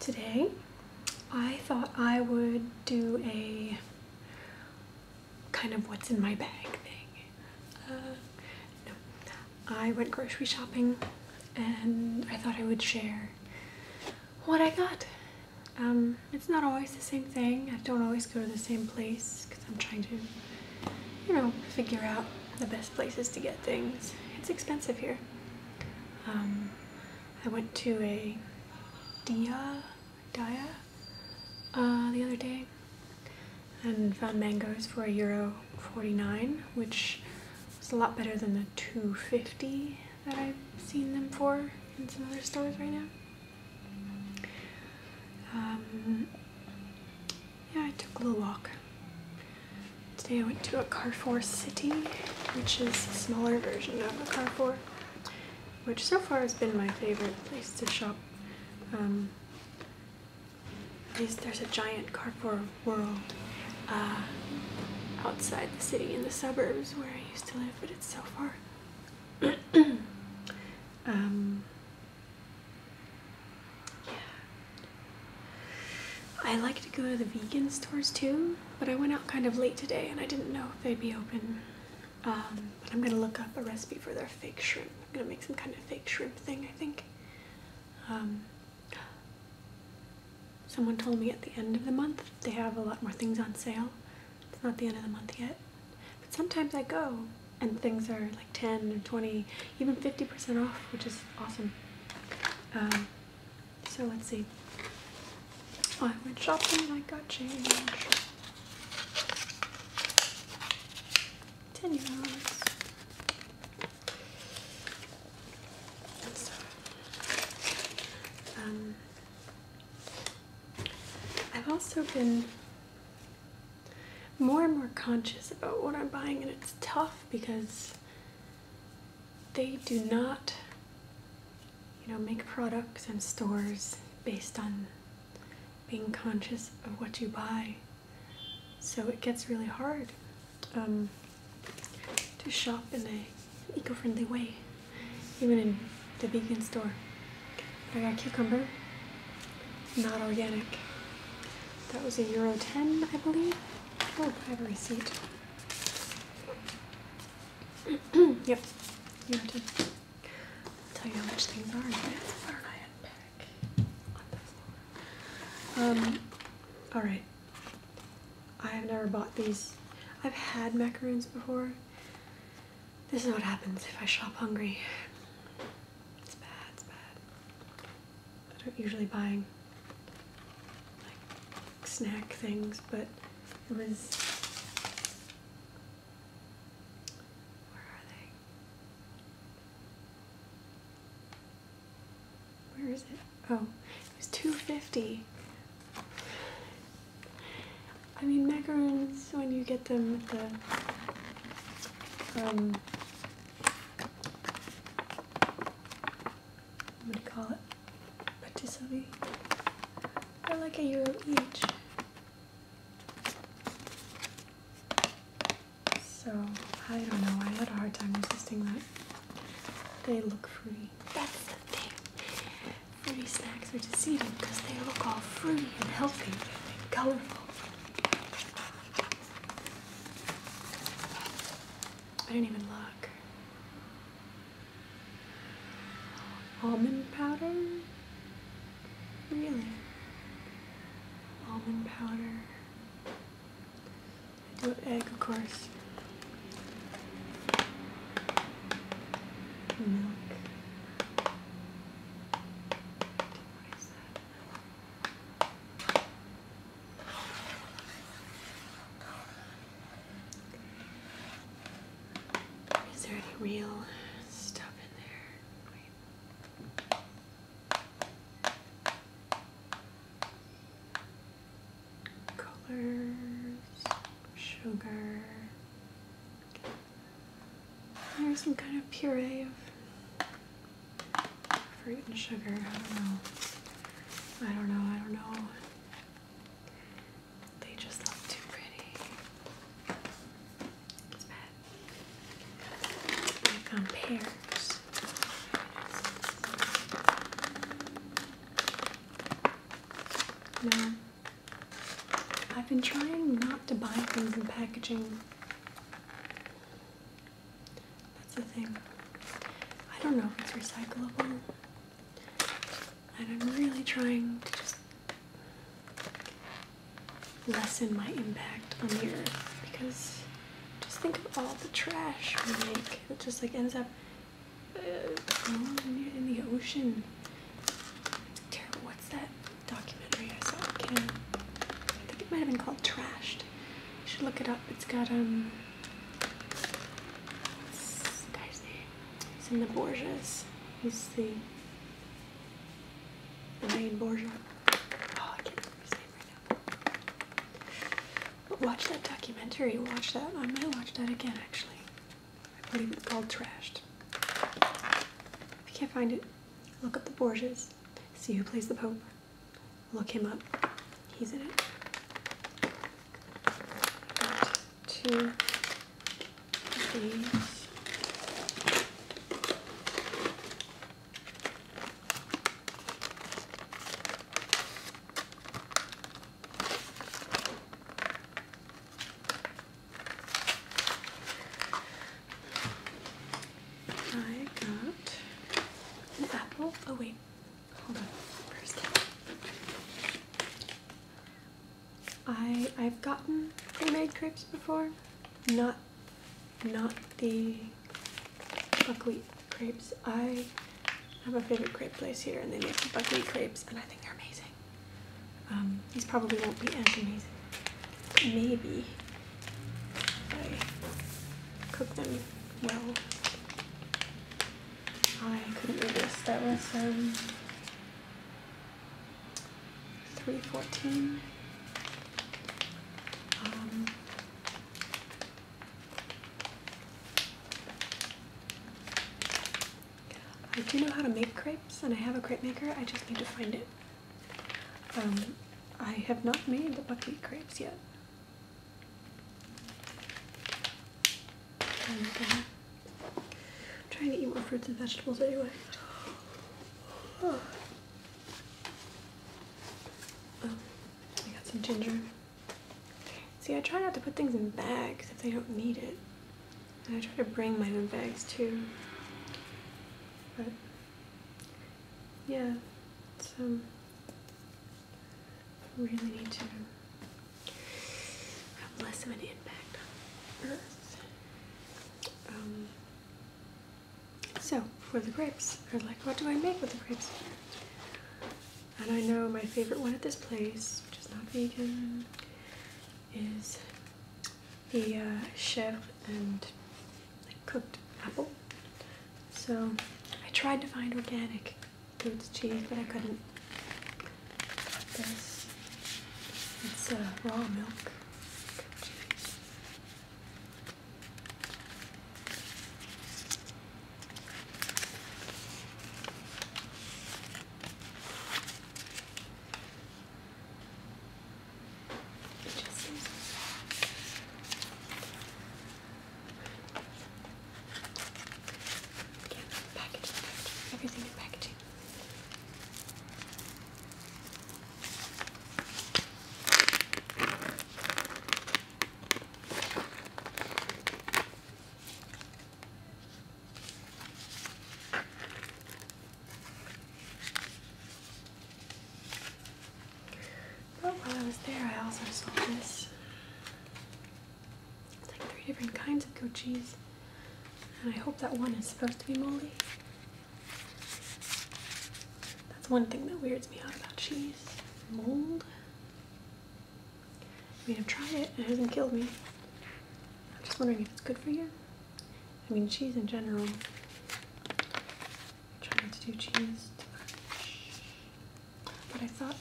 Today, I thought I would do a kind of what's in my bag thing. Uh, I went grocery shopping and I thought I would share what I got. Um, it's not always the same thing. I don't always go to the same place. I'm trying to, you know, figure out the best places to get things. It's expensive here. Um, I went to a Dia, Dia uh, the other day and found mangoes for a euro 49 which was a lot better than the 250 that I've seen them for in some other stores right now. Um, yeah, I took a little walk. Today I went to a Carrefour City, which is a smaller version of a Carrefour, which so far has been my favorite place to shop. Um, at least there's a giant Carrefour world uh, outside the city in the suburbs where I used to live, but it's so far. Um, yeah. I like to go to the vegan stores too, but I went out kind of late today and I didn't know if they'd be open. Um, but I'm gonna look up a recipe for their fake shrimp. I'm gonna make some kind of fake shrimp thing, I think. Um, someone told me at the end of the month they have a lot more things on sale. It's not the end of the month yet. But sometimes I go and things are like 10 or 20, even 50% off, which is awesome. Um, so let's see. Oh, I went shopping I got change. Ten euros. Um, I've also been more and more conscious about what I'm buying, and it's tough because they do not, you know, make products and stores based on being conscious of what you buy. So it gets really hard um, to shop in an eco-friendly way, even in the vegan store. I got cucumber not organic. That was a euro 10, I believe. Oh, I have a receipt. yep, You have to tell you how much things are. Burn iron pack on the Um, alright. I have never bought these. I've had macaroons before. This is what happens if I shop hungry. It's bad, it's bad. I don't usually buy like snack things, but it was where are they? Where is it? Oh, it was two fifty. I mean macarons when you get them at the um, what do you call it? Patisserie. They're like a euro each. So I don't know. I had a hard time resisting that. They look free. That's the thing. Free snacks are deceiving because they look all fruity and healthy and colorful. I didn't even look. Almond powder? Really? Almond powder. egg, of course. Milk. Is there any real stuff in there? Colors, sugar. There's some kind of puree of Fruit and sugar, I don't know. I don't know, I don't know. They just look too pretty. It's bad. I found um, pears. No. I've been trying not to buy things in packaging that's the thing. I don't know if it's recyclable. And I'm really trying to just lessen my impact on the earth because just think of all the trash we make that just like ends up uh, in the ocean. What's that documentary I saw on I think it might have been called Trashed. You should look it up. It's got um what's the name? He's in the Borgias. He's the the main Borges. Oh, I can't remember his name right now. But watch that documentary. Watch that. I might watch that again actually. I it it's called Trashed. If you can't find it, look up the Borges. See who plays the Pope. Look him up. He's in it. Got I got an apple. Oh wait, hold on. First, I I've gotten pre crepes before, not not the buckwheat crepes. I have a favorite crepe place here, and they make the buckwheat crepes, and I think they're amazing. Um, these probably won't be as amazing. Maybe I cook them well. I couldn't resist. That was um, 314. Um, I do know how to make crepes and I have a crepe maker, I just need to find it. Um, I have not made the buckwheat crepes yet. I'm trying to eat more fruits and vegetables anyway. Oh. Oh, I got some ginger. See, I try not to put things in bags if I don't need it. I try to bring my own bags too. But yeah, so um, we really need to have less of an impact on Earth. Um, so for the grapes, I'm like, what do I make with the grapes? And I know my favorite one at this place, which is not vegan, is the uh, chef and cooked apple. So I tried to find organic goat's cheese, but I couldn't. This it's uh, raw milk cheese. It just seems so soft. Again, packaging, packaging, everything in packaging. But oh, while I was there, I also saw this. It's like three different kinds of goat cheese. And I hope that one is supposed to be moldy. That's one thing that weirds me out about cheese. Mold. I mean, I've tried it it hasn't killed me. I'm just wondering if it's good for you. I mean, cheese in general trying to do cheese But I thought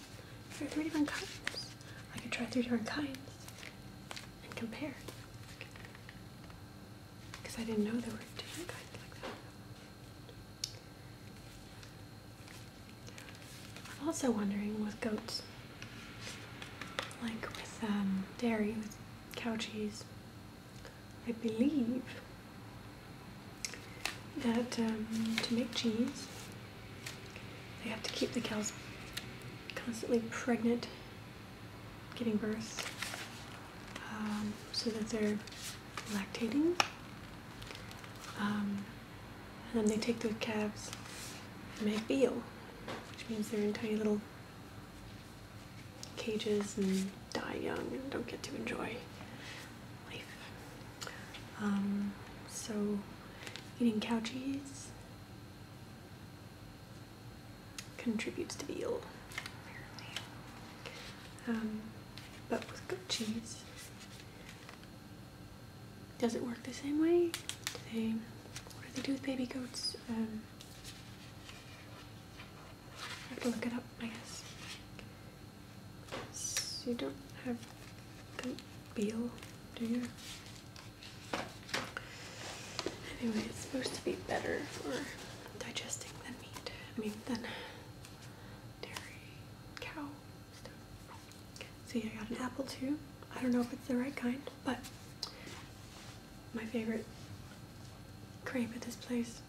there are three different kinds. I could try three different kinds and compare. Because I didn't know there were different kinds like that. I'm also wondering with goats, like with um, dairy, with cow cheese, I believe that um, to make cheese, they have to keep the cows constantly pregnant, giving birth, um, so that they're lactating. Um, and then they take those calves and make veal, which means they're in tiny little cages and die young and don't get to enjoy life. Um, so, eating cow cheese contributes to the ill, um, but with goat cheese, does it work the same way? Do what do they do with baby goats? Um, I have to look it up, I guess. you don't have the Beal, do you? Anyway, it's supposed to be better for digesting than meat. I mean, than dairy, cow stuff. See, I got an apple too. I don't know if it's the right kind, but my favorite crepe at this place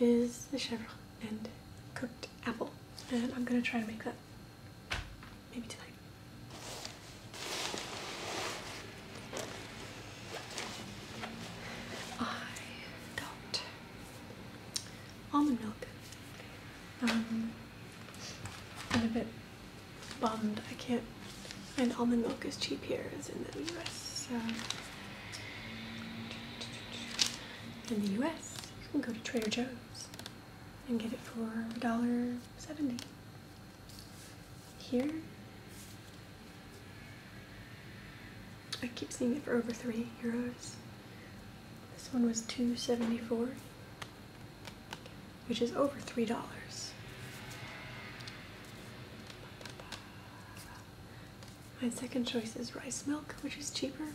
is the Chevre and cooked apple. And I'm gonna try to make that maybe tonight. I got almond milk. Um, I'm a bit bummed I can't find almond milk as cheap here as in the US, in the US, you can go to Trader Joe's and get it for $1.70. Here, I keep seeing it for over 3 euros. This one was 2.74, which is over $3. My second choice is rice milk, which is cheaper.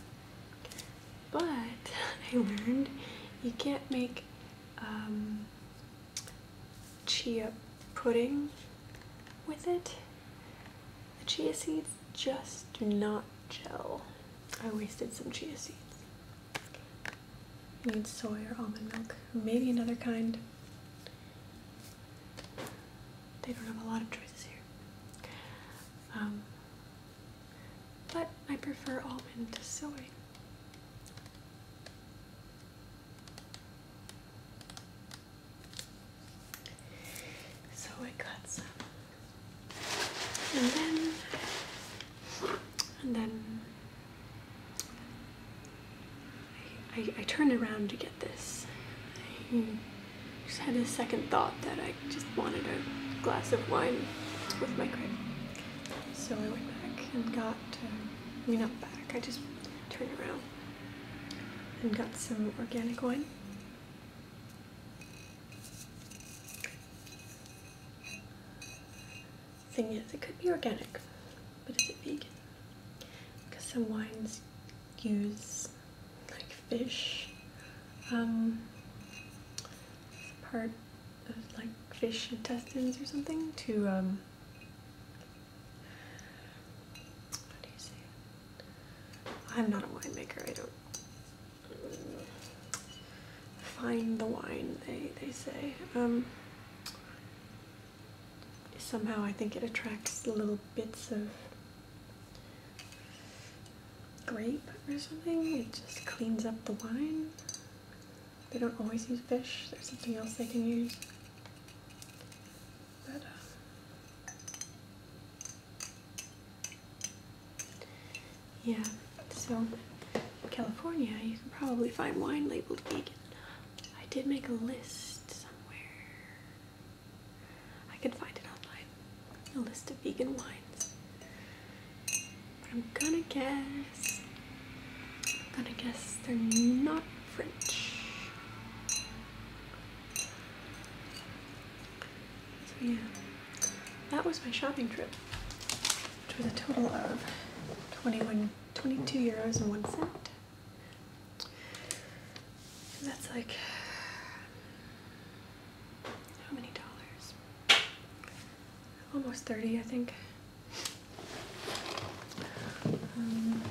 But I learned you can't make um, chia pudding with it. The chia seeds just do not gel. I wasted some chia seeds. You need soy or almond milk, maybe another kind. They don't have a lot of choices here. Um, but I prefer almond to soy. So I got some. And then, and then I, turned around to get this. I just had a second thought that I just wanted a glass of wine with my grape. So I went back and got, um, not back, I just turned around and got some organic wine. Thing is, it could be organic, but is it vegan? Because some wines use like fish um, part of like fish intestines or something to um, I'm not a winemaker. I don't find the wine. They they say. Um, somehow I think it attracts little bits of grape or something. It just cleans up the wine. They don't always use fish. There's something else they can use. But, uh, yeah, so California, you can probably find wine labeled vegan. I did make a list somewhere. I can find it online. A list of vegan wines. But I'm gonna guess. I'm gonna guess they're not French. yeah, that was my shopping trip, which was a total of 21, 22 euros and one cent. That's like how many dollars? Almost 30, I think. Um,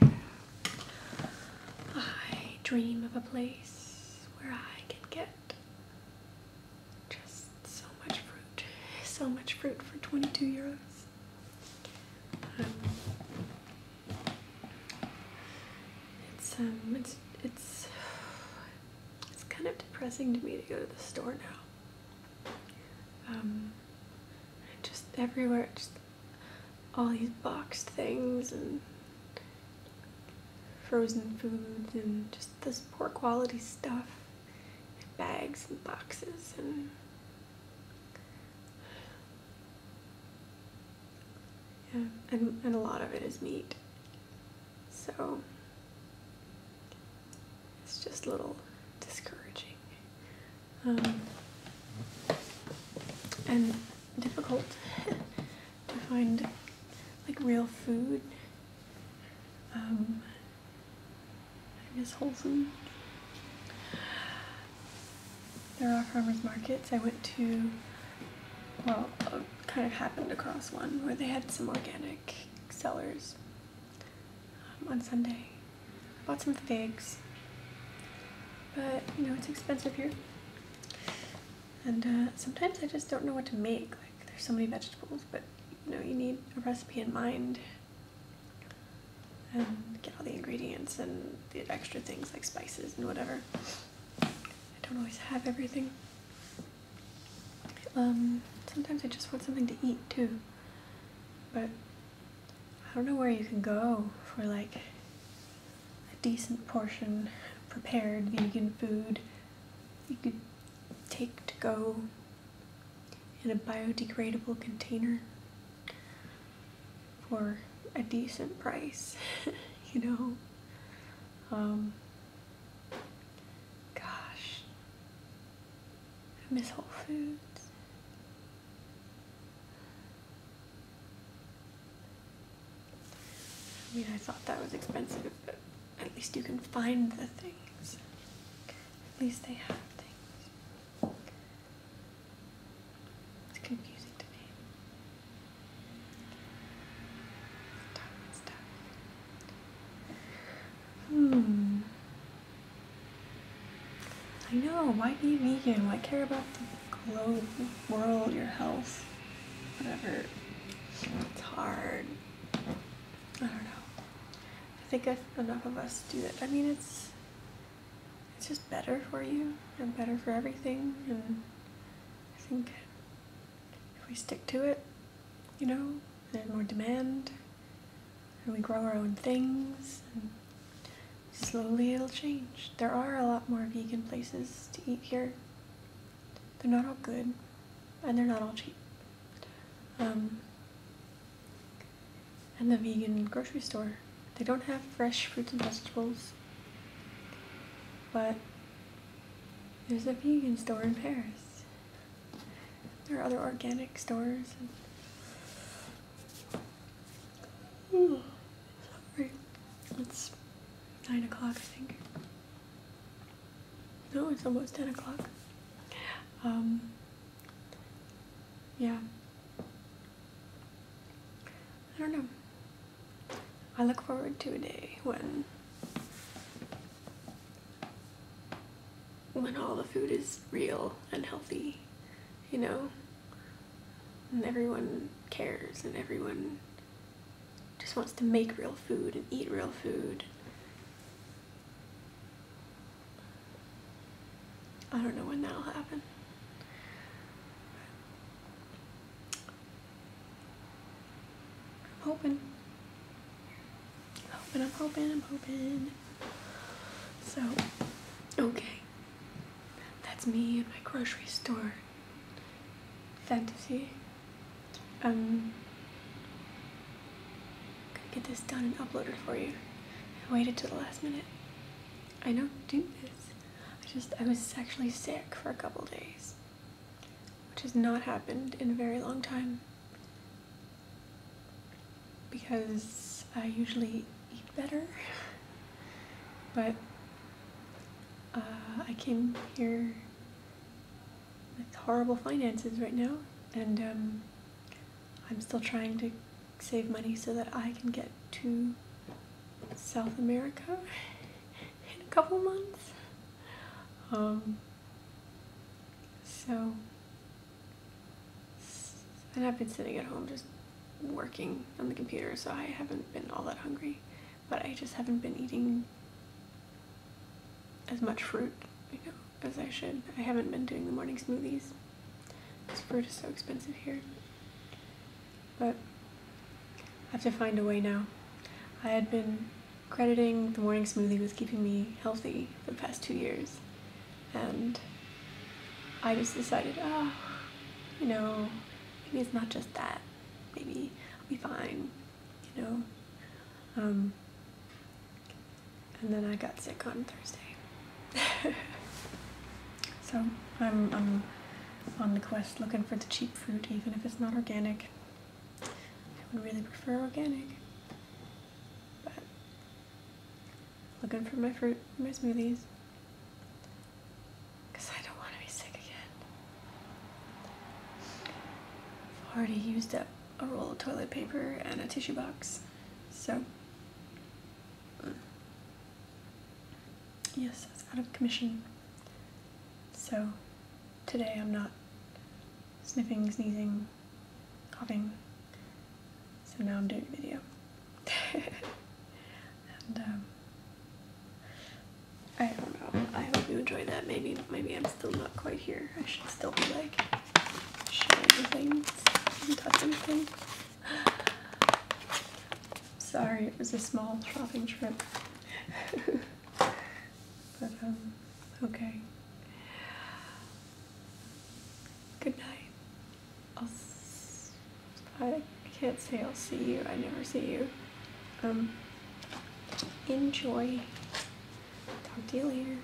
yeah. I dream of a place where I can get just so much fruit. So much fruit for 22 euros it's um, it's it's it's kind of depressing to me to go to the store now. Um, just everywhere, just all these boxed things and frozen foods and just this poor quality stuff, bags and boxes and yeah, and, and a lot of it is meat. So it's just a little discouraging. Um, and difficult to find like real food. Um, I miss Whole Foods. There are farmers markets. I went to, well, uh, kind of happened across one where they had some organic sellers um, on Sunday. Bought some figs, but you know, it's expensive here. And uh, sometimes I just don't know what to make. Like, there's so many vegetables, but you know, you need a recipe in mind and get all the ingredients and the extra things like spices and whatever. I don't always have everything. Um, sometimes I just want something to eat too, but I don't know where you can go for like a decent portion prepared vegan food. You could take to go in a biodegradable container for a decent price, you know. Um, gosh, I miss Whole Foods. I mean, I thought that was expensive, but at least you can find the things. At least they have things. It's confusing to me. Time stuff. Hmm. I know, why be vegan? Why care about the globe, world, your health, whatever? It's hard. I don't know. I think enough of us do that. I mean, it's it's just better for you and better for everything and I think if we stick to it, you know, there's more demand and we grow our own things and slowly it'll change. There are a lot more vegan places to eat here. They're not all good and they're not all cheap. Um, and the vegan grocery store. They don't have fresh fruits and vegetables, but there's a vegan store in Paris. There are other organic stores. Ooh, sorry. It's 9 o'clock, I think. No, it's almost 10 o'clock. Um, yeah. I don't know. I look forward to a day when when all the food is real and healthy, you know, and everyone cares and everyone just wants to make real food and eat real food I don't know when that'll happen. I'm hoping. I'm hoping, I'm hoping, I'm hoping. So, okay. That's me in my grocery store fantasy. Um, Gotta get this done and uploaded for you. I waited till the last minute. I don't do this. I just, I was actually sick for a couple days, which has not happened in a very long time because I usually eat better, but uh, I came here with horrible finances right now, and um, I'm still trying to save money so that I can get to South America in a couple months. Um, so, and I've been sitting at home just working on the computer, so I haven't been all that hungry, but I just haven't been eating as much fruit, you know as I should. I haven't been doing the morning smoothies. This fruit is so expensive here. But I have to find a way now. I had been crediting the morning smoothie with keeping me healthy for the past two years. And I just decided, oh, you know, maybe it's not just that. Maybe I'll be fine, you know. Um, and then I got sick on Thursday. so I'm, on the quest looking for the cheap fruit, even if it's not organic. I would really prefer organic, but looking for my fruit, my smoothies, because I don't want to be sick again. I've already used up a roll of toilet paper and a tissue box, so yes, I out of commission. So today I'm not sniffing, sneezing, coughing. So now I'm doing a video. and um, I don't know. I hope you enjoyed that. Maybe maybe I'm still not quite here. I should still be like shiny things and touching Sorry, it was a small shopping trip. but, um, okay. Good night. I'll s I can not say I'll see you. I never see you. Um, enjoy. Talk to you later.